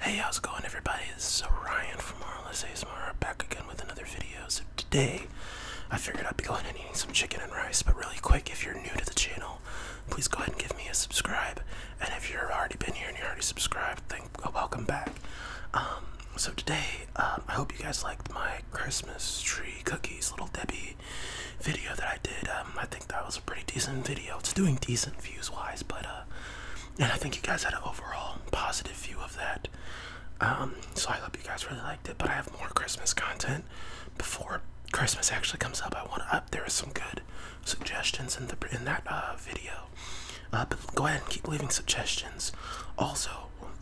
Hey, how's it going everybody? This is Ryan from RLS ASMR back again with another video. So today, I figured I'd be going and eating some chicken and rice, but really quick, if you're new to the channel, please go ahead and give me a subscribe. And if you've already been here and you are already subscribed, then welcome back. Um, so today, um, I hope you guys liked my Christmas tree cookies Little Debbie video that I did. Um, I think that was a pretty decent video. It's doing decent views-wise, but uh, and I think you guys had an overall positive view of that. Um, so I hope you guys really liked it. But I have more Christmas content before Christmas actually comes up. I want up. There are some good suggestions in the in that uh, video. Uh, but go ahead and keep leaving suggestions. Also,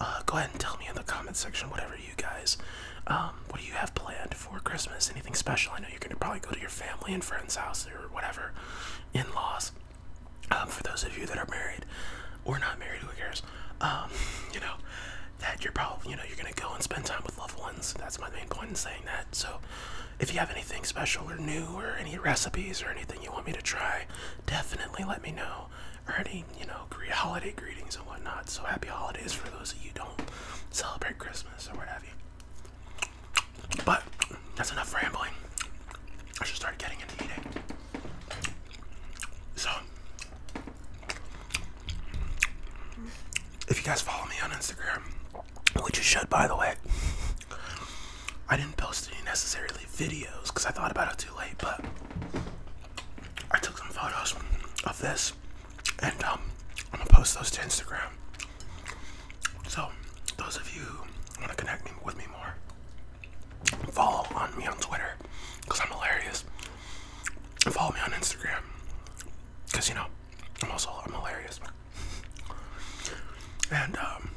uh, go ahead and tell me in the comment section whatever you guys. Um, what do you have planned for Christmas? Anything special? I know you're gonna probably go to your family and friends' house or whatever in-laws. Um, for those of you that are married or not married, who cares? Um, you know, that you're probably, you know, you're gonna go and spend time with loved ones. That's my main point in saying that. So, if you have anything special or new or any recipes or anything you want me to try, definitely let me know. Or any, you know, holiday greetings and whatnot. So, happy holidays for those of you who don't celebrate Christmas or what have you. But that's enough rambling. I should start getting into eating. So, if you guys follow me on Instagram, which you should, by the way, I didn't post any necessarily videos because I thought about it too late, but I took some photos of this and um, I'm gonna post those to Instagram. So, those of you who want to connect me with me more, follow on me on Twitter because I'm hilarious. And follow me on Instagram because you know I'm also I'm hilarious. And um,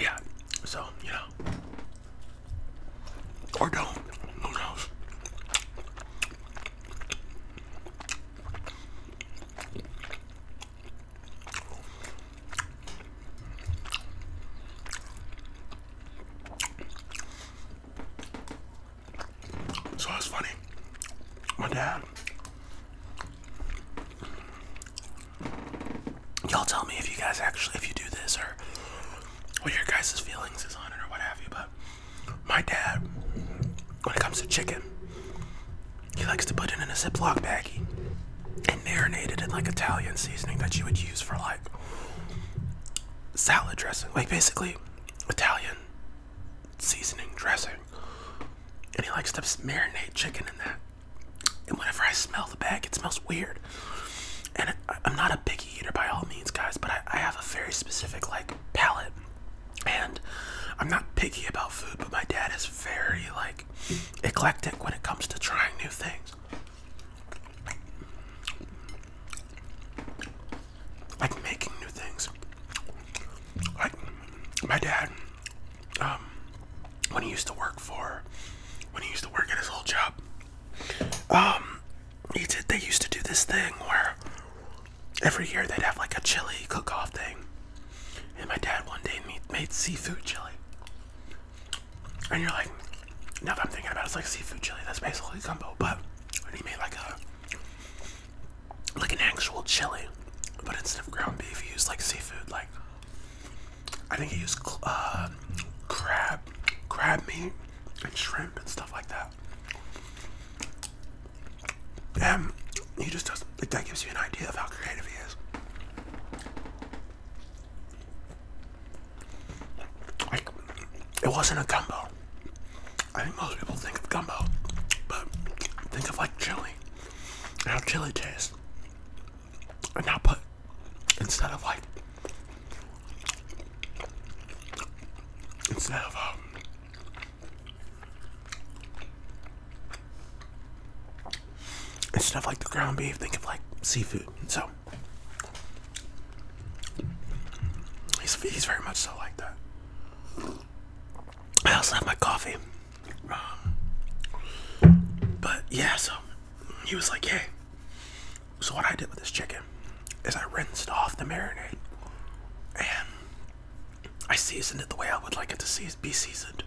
yeah, so you know, or don't. Who knows? So that's funny. My dad. Y'all tell me if you guys actually if you do this or what your guys' feelings is on it or what have you, but my dad when it comes to chicken, he likes to put it in a Ziploc baggie and marinate it in like Italian seasoning that you would use for like salad dressing. Like basically Italian seasoning dressing. And he likes to marinate chicken in that. And whenever I smell the bag, it smells weird. And I, am not a picky eater by all means, guys, but I, I have a very specific like palate. And I'm not picky about food, but my dad is very like eclectic when it comes to trying new things. Like making new things. Like my dad, um, when he used to work for, when he used to work at his old job, um, he did. They used to do this thing where every year they'd have like a chili cook-off thing, and my dad one day made, seafood chili. And you're like, now that I'm thinking about it, it's like seafood chili. That's basically gumbo. But he made like a like an actual chili, but instead of ground beef, he used like seafood. Like I think he used uh, crab, crab meat, and shrimp and stuff like that. Um, he just does. Like that gives you an idea of how creative he is. Like, it wasn't a gumbo. I think most people think of gumbo, but think of like chili, and how chili tastes, and now put instead of like instead of um, Instead stuff like the ground beef, think of like seafood. So he's, very much so like that. I also have my coffee. Um, but yeah, so he was like, hey. So what I did with this chicken is I rinsed off the marinade I seasoned it the way I would like it to be seasoned,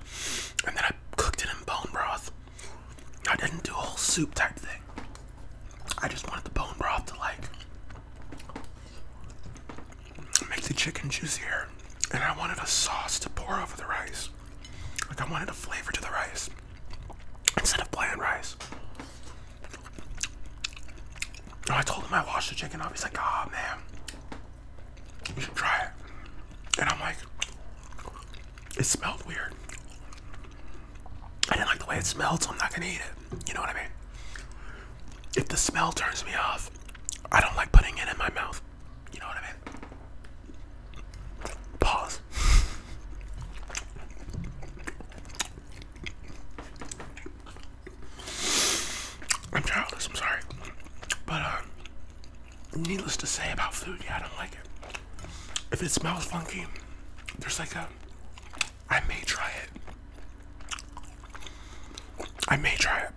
and then I cooked it in bone broth. I didn't do a whole soup type thing. I just wanted the bone broth to like make the chicken juicier, and I wanted a sauce to pour over the rice. Like I wanted a flavor to the rice instead of plain rice. And I told him I washed the chicken up. He's like, "Ah, oh, man." try it. And I'm like, it smelled weird. I didn't like the way it smelled, so I'm not gonna eat it. You know what I mean? If the smell turns me off, I don't like putting it in my mouth. You know what I mean? Pause. I'm childless, I'm sorry. But, uh, needless to say about food, yeah, I don't like it. If it smells funky, there's like a. I may try it. I may try it.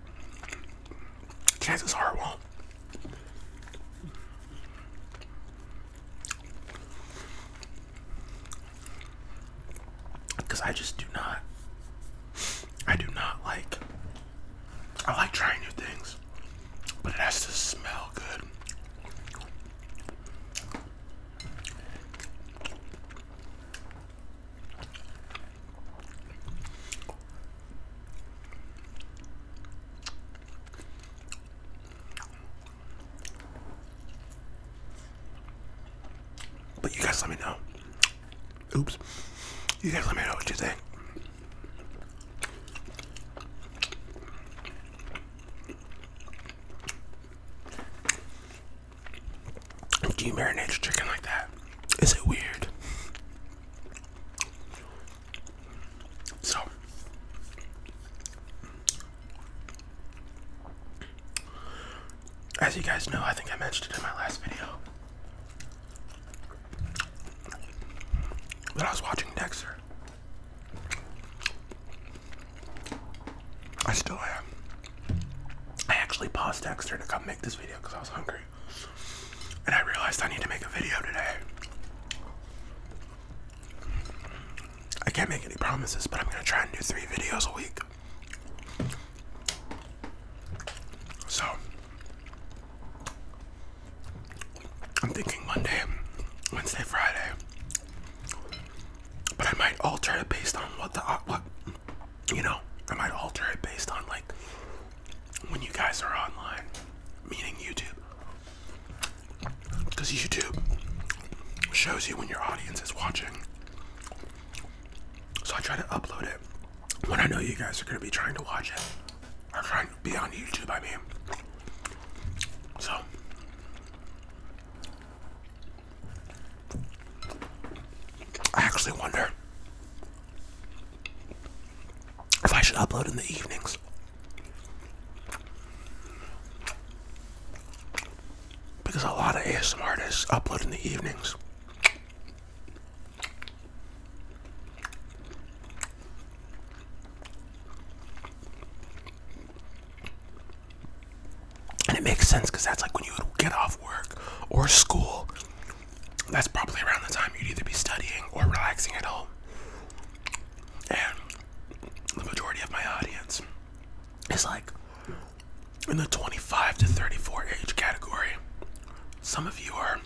Chances are it won't. Because I just do not I do not like. I like trying new things, but it has to smell good. But you guys let me know Oops. You guys let me know what you think. Do you marinate your chicken like that? Is it weird? So, as you guys know, I think I mentioned it in my last video. But I was watching Dexter. I still am. I actually paused Dexter to come make this video because I was hungry. And I realized I need to make a video today. I can't make any promises, but I'm gonna try and do three videos a week. So I'm thinking Monday, Wednesday, Friday, but I might alter it based on what the uh, what you know. I might alter it based on like when you guys are online, meaning YouTube, because YouTube shows you when your audience is watching. So I try to upload it when I know you guys are going to be trying to watch it or trying to be on YouTube, I mean. So, I actually wonder if I should upload in the evenings. Because a lot of ASMR artists upload in the evenings. And it makes sense because that's like when you would get off work or school. That's probably around the time you'd either be studying or relaxing at home. And the majority of my audience is like in the 25 to 34 age category. Some of you are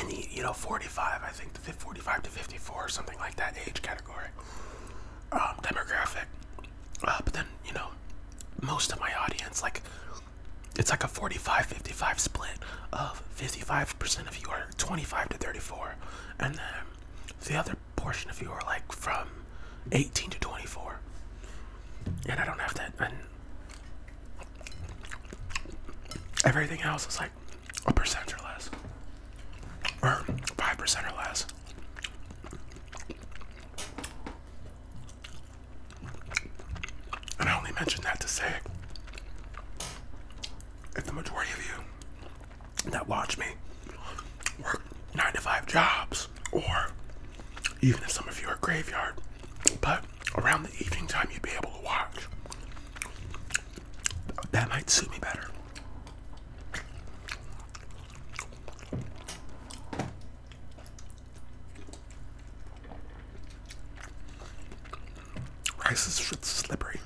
in you know 45, I think the 45 to 54, something like that age category um, demographic. Uh, but then you know, most of my audience like it's like a 45 55 split of 55% of you are 25 to 34 and then the other portion of you are like from 18 to 24 and i don't have that and Everything else is like a percent or less, or five percent or less. And I only mention that to say if the majority of you that watch me work nine to five jobs, or even if some of you are graveyard, but around the evening time you'd be able to watch. That might suit me better. Rice is slippery,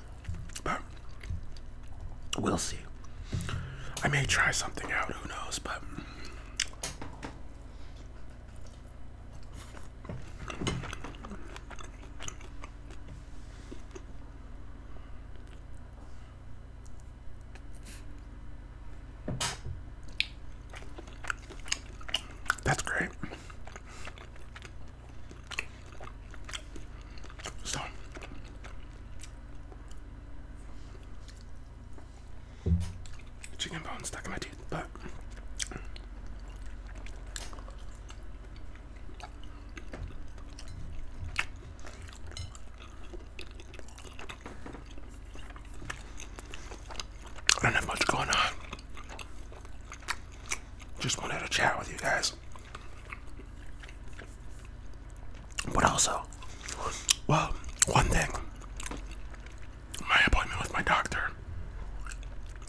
but we'll see. I may try something out, who knows, but that's great. So chicken bone stuck in my teeth, but I don't have much going on. Just wanted to chat with you guys. But also, well, one thing my appointment with my doctor,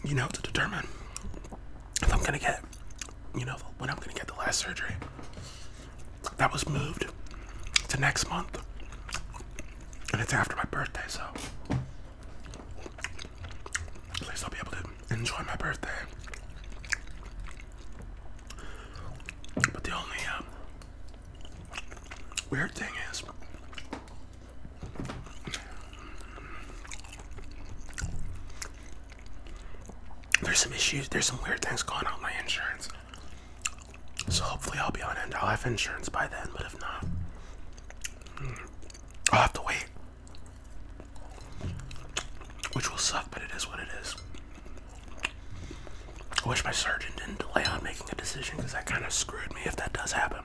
you know, to determine if I'm gonna get, you know, when I'm gonna get the last surgery. That was moved to next month, and it's after my birthday, so at least I'll be able to enjoy my birthday. But the only uh, weird thing is, there's some issues, there's some weird things going on with my insurance. So hopefully I'll be on end. I'll have insurance by then, but if not, hmm, I'll have to wait. Which will suck, but it is what it is. I wish my surgeon didn't delay on making a decision because that kind of screwed me if that does happen.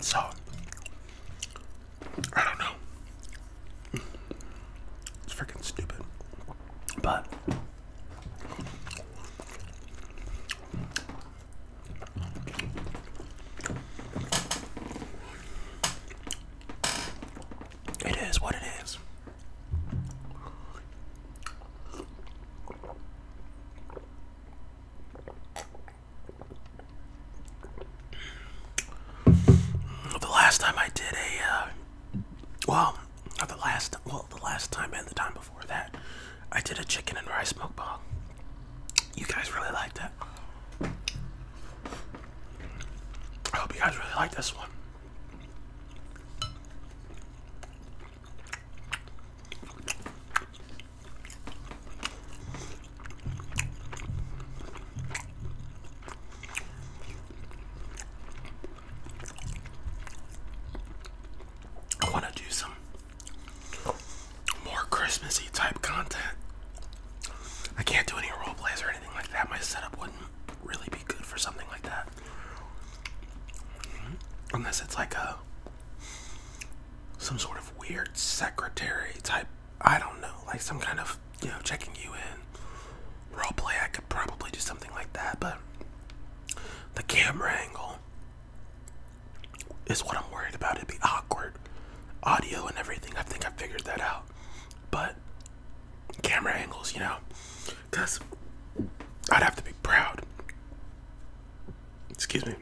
So, I don't know. It's freaking stupid. But, it is what it is. The last time I did a, uh, well, the last, well, the last time and the time before that, I did a chicken and rice mukbang. You guys really liked that. I hope you guys really like this one. I want to do some more Christmassy type content. I can't do any role plays or anything like that. My setup wouldn't really be good for something like that. Unless it's like a some sort of weird secretary type. I don't know, like some kind of you know checking you in role play. I could probably do something like that, but the camera angle is what I'm worried about. It'd be awkward, audio and everything. I think I figured that out, but camera angles, you know, because I'd have to be proud. Excuse me.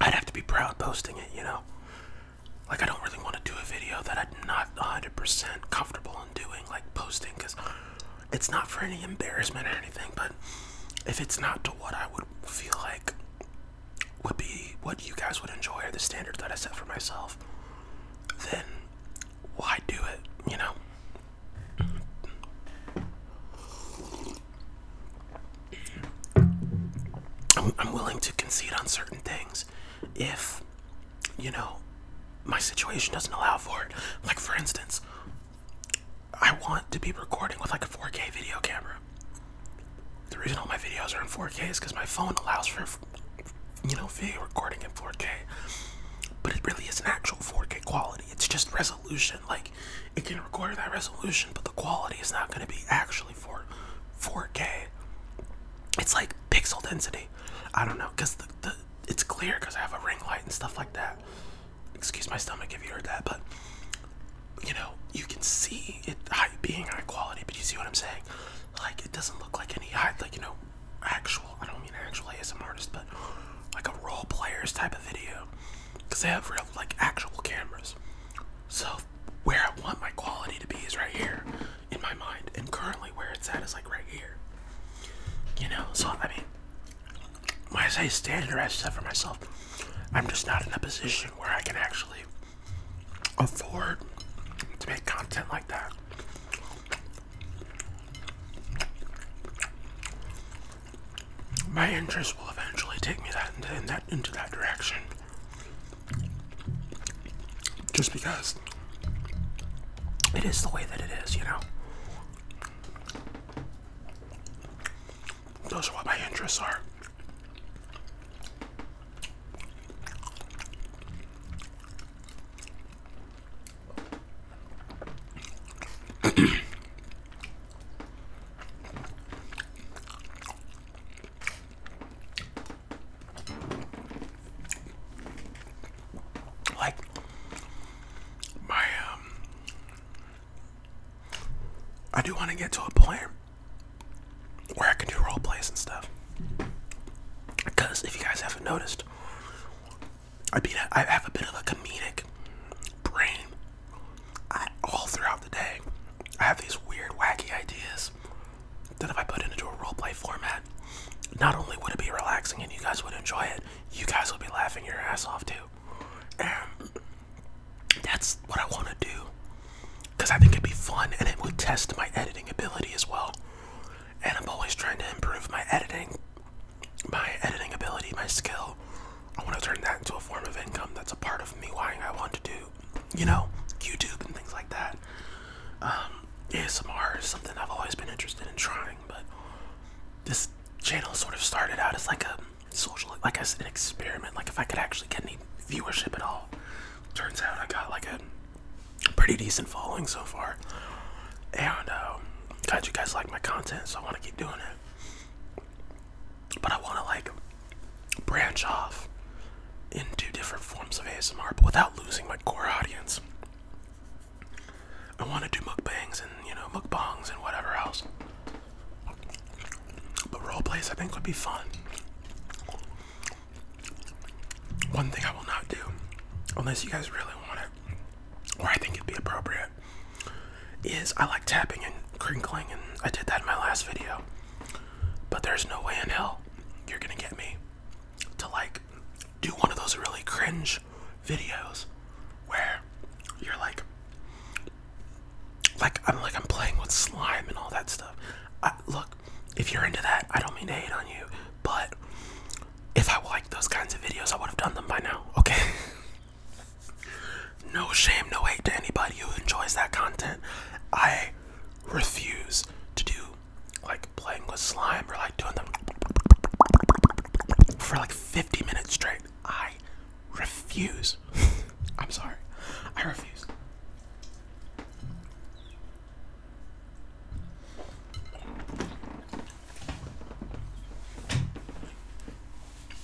I'd have to be proud posting it, you know? Like, I don't really want to do a video that I'm not 100% comfortable in doing, like posting, because it's not for any embarrassment or anything, but if it's not to what I would feel like would be what you guys would enjoy or the standards that I set for myself, then why do it, you know? I'm willing to concede on certain things if, you know, my situation doesn't allow for it. Like, for instance, I want to be recording with like a 4K video camera. The reason all my videos are in 4K is because my phone allows for, you know, video recording in 4K. But it really isn't actual 4K quality, it's just resolution. Like, it can record that resolution, but the quality is not going to be actually for 4K. It's like pixel density. I don't know, cause the, the it's clear because I have a ring light and stuff like that. Excuse my stomach if you heard that, but you know you can see it being high quality. But you see what I'm saying? Like it doesn't look like any high, like you know, actual. I don't mean actual ASM artist, but like a role players type of video because they have real like actual cameras. So where I want my quality to be is right here in my mind, and currently where it's at is like right here. You know, so I mean, when I say standard, i said for myself. I'm just not in a position where I can actually afford to make content like that my interests will eventually take me that into that direction. Just because it is the way that it is, you know. Those are what my interests are. Like my um, I do want to get to a point where I can do role plays and stuff. Because if you guys haven't noticed, I, beat a, I have a bit of a comedic brain I, all throughout the day, I have these weird, wacky ideas that if I put it into a roleplay format, not only would it be relaxing and you guys would enjoy it, you guys would be laughing your ass off too. And that's what I want to do because I think it'd be fun and it would test my editing ability as well. And I'm always trying to improve my editing my editing ability, my skill. I want to turn that into a form of income that's a part of me why I want to do, you know, YouTube and things like that. Um, ASMR is something I've always been interested in trying, but this channel sort of started out as like a social, like as an experiment, like if I could actually get any viewership at all. Turns out I got like a pretty decent following so far, and um, you guys like my content, so I want to keep doing it but I want to like branch off into different forms of ASMR, but without losing my core audience. I want to do mukbangs and you know mukbangs and whatever else. But role plays I think would be fun. One thing I will not do, unless you guys really want it, or I think it'd be appropriate, is I like tapping and crinkling, and I did that in my last video. But there's no way in hell you're gonna get me to like do one of those really cringe videos where you're like, like I'm like I'm playing with slime and all that stuff. look, if you're into that, I don't mean to hate on you, but if I liked those kinds of videos, I would have done them by now. Okay. No shame, no hate to anybody who enjoys that content. I refuse to do like playing with slime or like doing them for like 50 minutes straight. I refuse. I'm sorry. I refuse.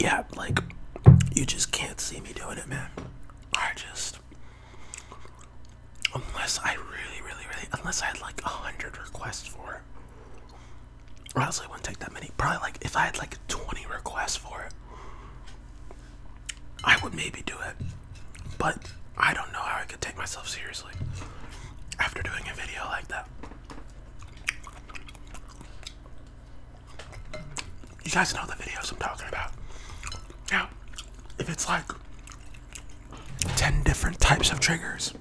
Yeah, like you just can't see me doing it, man. I just Unless I really, really, really, unless I had like a hundred requests for it. Or else I wouldn't take that many. Probably like if I had like 20 requests for it, I would maybe do it. But I don't know how I could take myself seriously after doing a video like that. You guys know the videos I'm talking about. Now, If it's like 10 different types of triggers.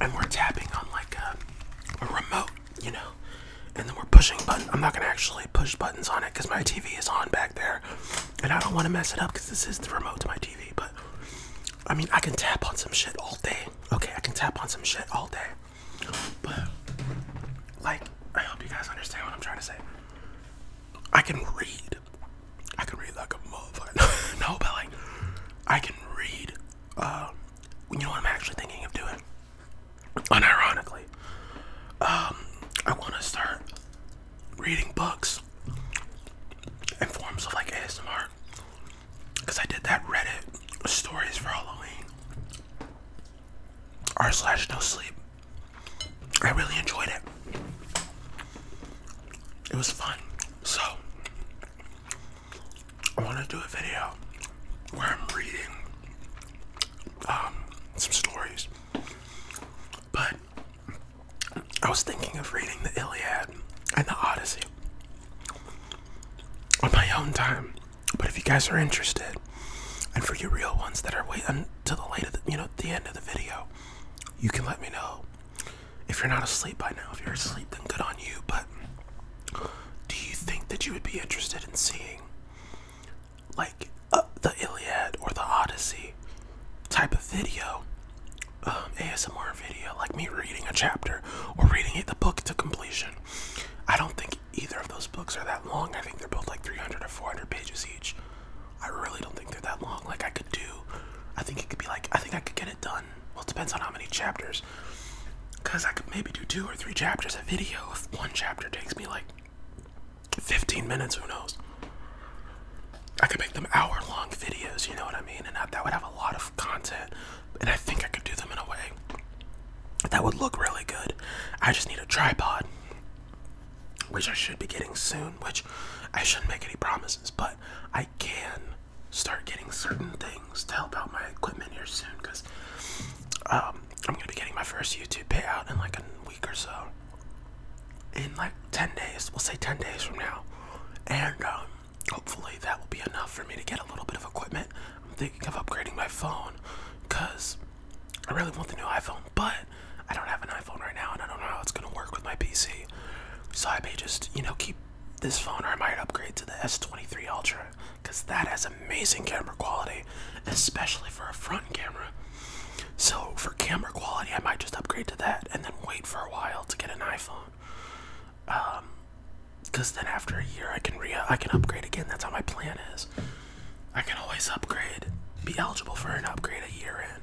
And we're tapping on like a, remote, you know, and then we're pushing buttons. I'm not going to actually push buttons on it because my TV is on back there. And I don't want to mess it up because this is the remote to my TV. But I mean, I can tap on some shit all day. Okay, I can tap on some shit all day. But like, I hope you guys understand what I'm trying to say. I can read I can read like a motherfucker. no, but like I can read. Uh, you know what I'm actually thinking of doing? Unironically, um, I want to start reading books and forms of like ASMR. Cause I did that Reddit stories for Halloween. R slash no sleep. I really enjoyed it. It was fun. So, I want to do a video where I'm reading um, some stories. But I was thinking of reading the Iliad and the Odyssey on my own time. But if you guys are interested, and for you real ones that are waiting until the late of the, you know the end of the video, you can let me know. If you're not asleep by now, if you're asleep, then good on you. But do you think that you would be interested in seeing, like, uh, the Iliad or the Odyssey type of video? Um, ASMR video, like me reading a chapter or reading the book to completion. I don't think either of those books are that long. I think they're both like 300 or 400 pages each. I really don't think they're that long. Like I could do, I think it could be like, I think I could get it done. Well, it depends on how many chapters. Cause I could maybe do two or three chapters a video if one chapter takes me like 15 minutes, who knows? I could make them hour long videos, you know what I mean? And that, that would have a lot of content. And I think I could do them in a way that would look really good. I just need a tripod which I should be getting soon, which I shouldn't make any promises, but I can start getting certain things to help out my equipment here soon because um, I'm gonna be getting my first YouTube payout in like a week or so. In like 10 days, we'll say 10 days from now. And um, hopefully that will be enough for me to get a little bit of equipment. I'm thinking of upgrading my phone because I really want the new iPhone, but I don't have an iPhone right now, and I don't know how it's gonna work with my PC. So I may just, you know, keep this phone, or I might upgrade to the S23 Ultra, because that has amazing camera quality, especially for a front camera. So for camera quality, I might just upgrade to that, and then wait for a while to get an iPhone. Um, because then after a year, I can re I can upgrade again. That's how my plan is. I can always upgrade, be eligible for an upgrade a year in.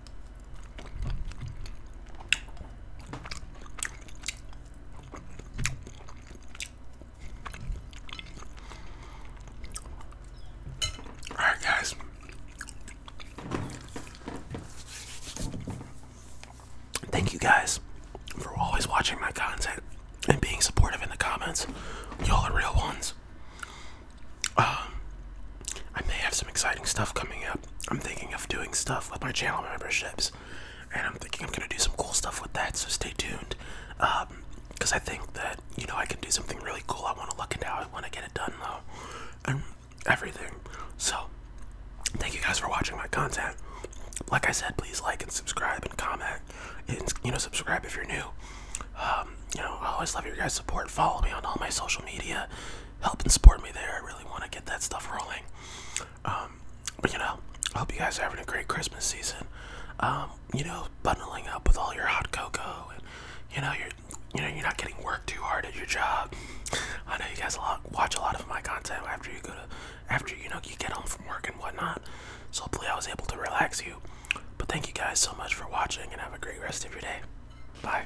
Alright, guys. Thank you guys for always watching my content and being supportive in the comments. Y'all are real ones. Um, I may have some exciting stuff coming up. I'm thinking of doing stuff with my channel memberships, and I'm thinking I'm gonna do some cool stuff with that. So stay tuned, because um, I think that you know I can do something really cool. I want to look into how I want to get it done though, and everything. So thank you guys for watching my content. Like I said, please like and subscribe and comment, and you know subscribe if you're new. Um, you know I always love your guys' support. Follow me on all my social media help and support me there. I really want to get that stuff rolling. Um, but you know, I hope you guys are having a great Christmas season. Um, you know, bundling up with all your hot cocoa, and you know, you're you know you're not getting work too hard at your job. I know you guys watch a lot of my content after you go to after you know you get home from work and whatnot. So hopefully I was able to relax you. But thank you guys so much for watching and have a great rest of your day. Bye.